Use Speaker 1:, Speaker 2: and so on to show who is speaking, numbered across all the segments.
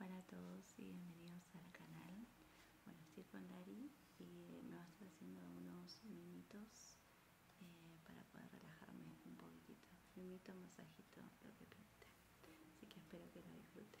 Speaker 1: Hola a todos y bienvenidos al canal. Bueno, estoy con Dari y me va a estar haciendo unos minutos eh, para poder relajarme un poquitito. Mimito, masajito, lo que Así que espero que lo disfruten.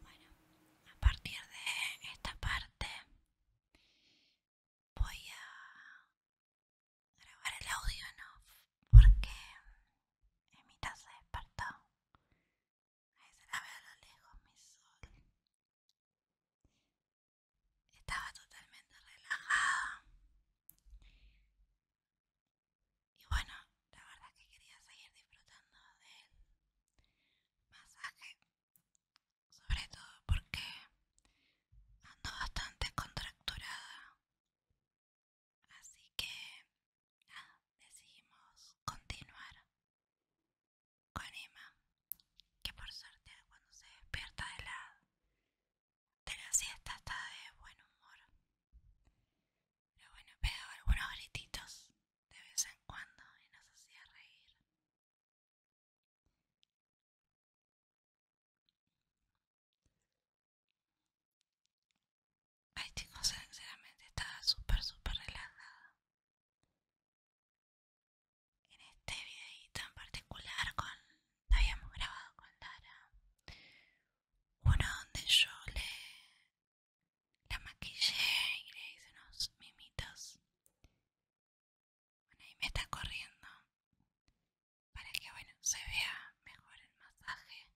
Speaker 1: Bueno, a partir de esta parte voy a grabar el audio ¿no? off porque Emita se despertó. Ahí se la a lo lejos mi sol. Estaba totalmente relajada. Y bueno, la verdad que quería seguir disfrutando del masaje. Sobre todo porque ando bastante contracturada. Así que decidimos continuar con Emma que por suerte cuando se despierta de la, de la siesta está de buen humor. Pero bueno, pegaba algunos grititos de vez en cuando y nos hacía reír. Ay chicos, sinceramente estaba súper, súper relajada en este videito en particular con, habíamos grabado con Lara uno donde yo le la maquillé y le hice unos mimitos bueno ahí me está corriendo para que bueno se vea mejor el masaje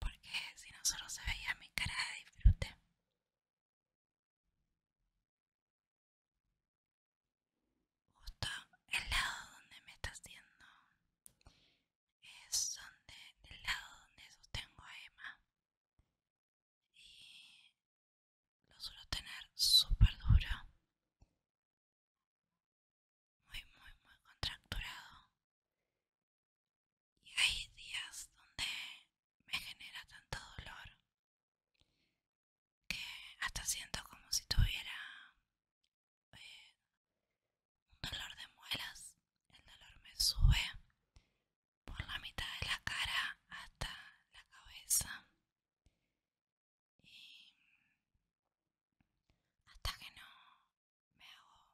Speaker 1: porque si no solo se veía mi cara de disfrute Justo el lado donde me está haciendo es donde el lado donde sostengo a Emma y lo suelo tener súper duro, muy muy muy contracturado y hay días donde me genera tanto dolor que hasta siento como si tuviera eh, un dolor de muelas. El dolor me sube por la mitad de la cara hasta la cabeza. Y hasta que no me hago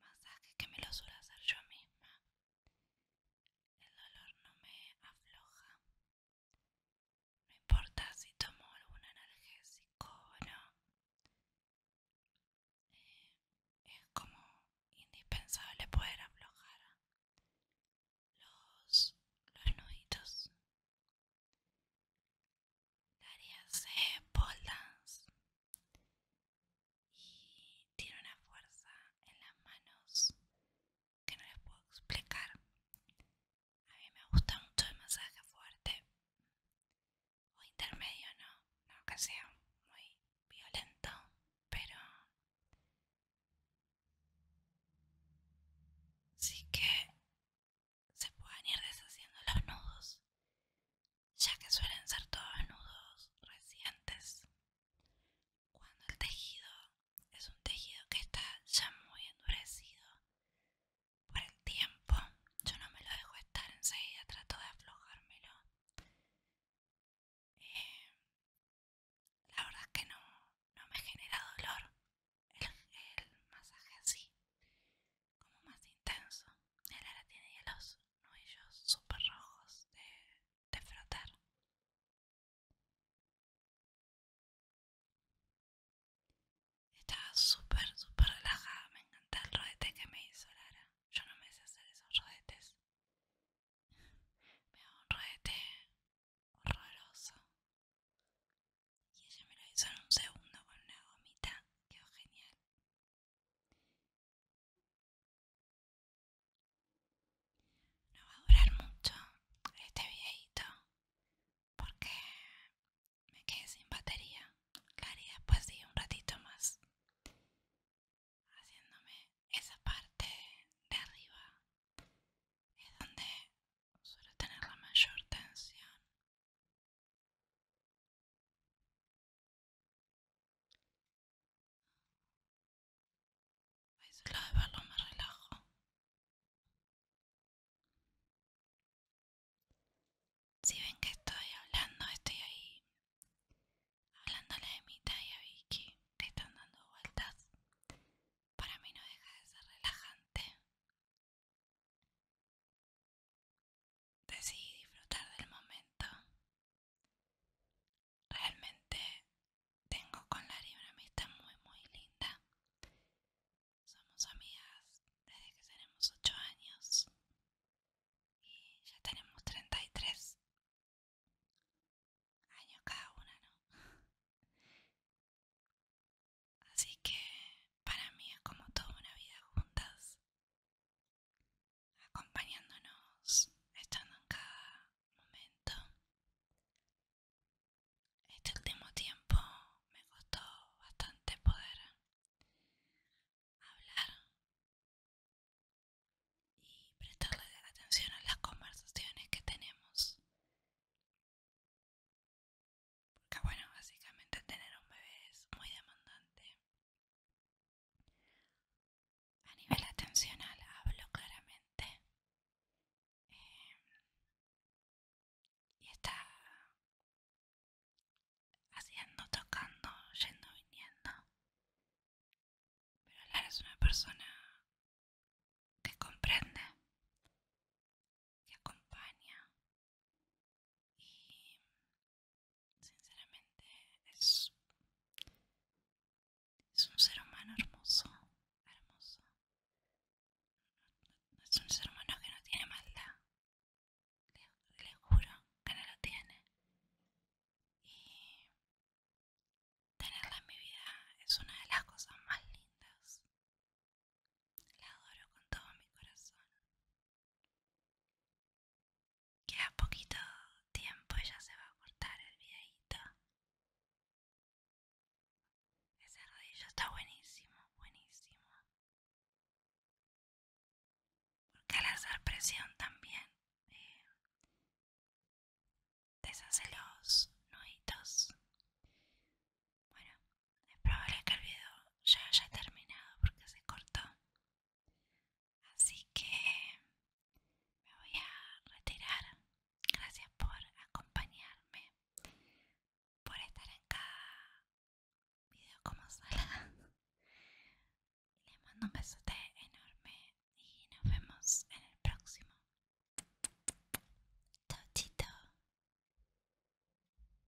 Speaker 1: masaje que me lo suelo hacer yo misma. El dolor no me afloja. No importa si tomo algún analgésico o no. Eh, es como indispensable poder aflojar los, los nuditos. Daría pole dance y tiene una fuerza en las manos que no les puedo explicar. A mí me gusta mucho el masaje fuerte o intermedio, no, no que sea muy violento, pero sí que se pueden ir deshaciendo los nudos ya que suelen ser todos nudos recientes. Cuando el tejido es un tejido que está ya muy endurecido por el tiempo, yo no me lo dejo estar enseguida, trato de aflojármelo. Eh, la verdad es que no, no me genera dolor el, masaje así, como más intenso. El ahora tiene hielos ellos super rojos de, frotar. Estaba súper, súper relajada. Me encanta el rodete que me hizo Lara. Yo no me sé hacer esos rodetes. Me un rodete horroroso. Y ella me lo hizo en un segundo con una gomita. Quedó genial. No va a durar mucho este videito porque me quedé sin batería. Claro, y después sigue un ratito más haciéndome esa parte de arriba. Es donde suelo tener la mayor tensión solo de relajo. Si ven que estoy hablando, estoy ahí hablándole de Emita y a Vicky, que están dando vueltas. Para mí no deja de ser relajante decidí disfrutar del momento. Realmente tengo con Lari una amistad muy, muy linda. Somos amigas desde que tenemos 8 años y ya tenemos 33 años cada una, ¿no? Así que para mí es como toda una vida juntas acompañándonos, estando en cada momento. Este último tiempo me costó bastante poder hablar y prestarle atención a las conversaciones que tenemos. Que bueno, básicamente tener un bebé es muy demandante a nivel atencional hablo claramente. Eh, y está haciendo, tocando, yendo, viniendo. Pero Lara es una persona que comprende, que acompaña y Sinceramente es, es un ser humano hermoso, hermoso. es un ser humano que no tiene maldad. Le, le juro que no lo tiene. Y tenerla en mi vida es una de las cosas más lindas. La adoro con todo mi corazón. Queda poquito tiempo Ella se va a cortar el videito. Ese rodillo está buenísimo, buenísimo. Porque al hacer presión también eh, deshace los nuditos. Bueno, es probable que el video ya haya terminado porque se cortó. Así que me voy a retirar. Gracias por acompañarme, por estar en cada video como sala. Les mando un besote enorme y nos vemos en el próximo. Chao,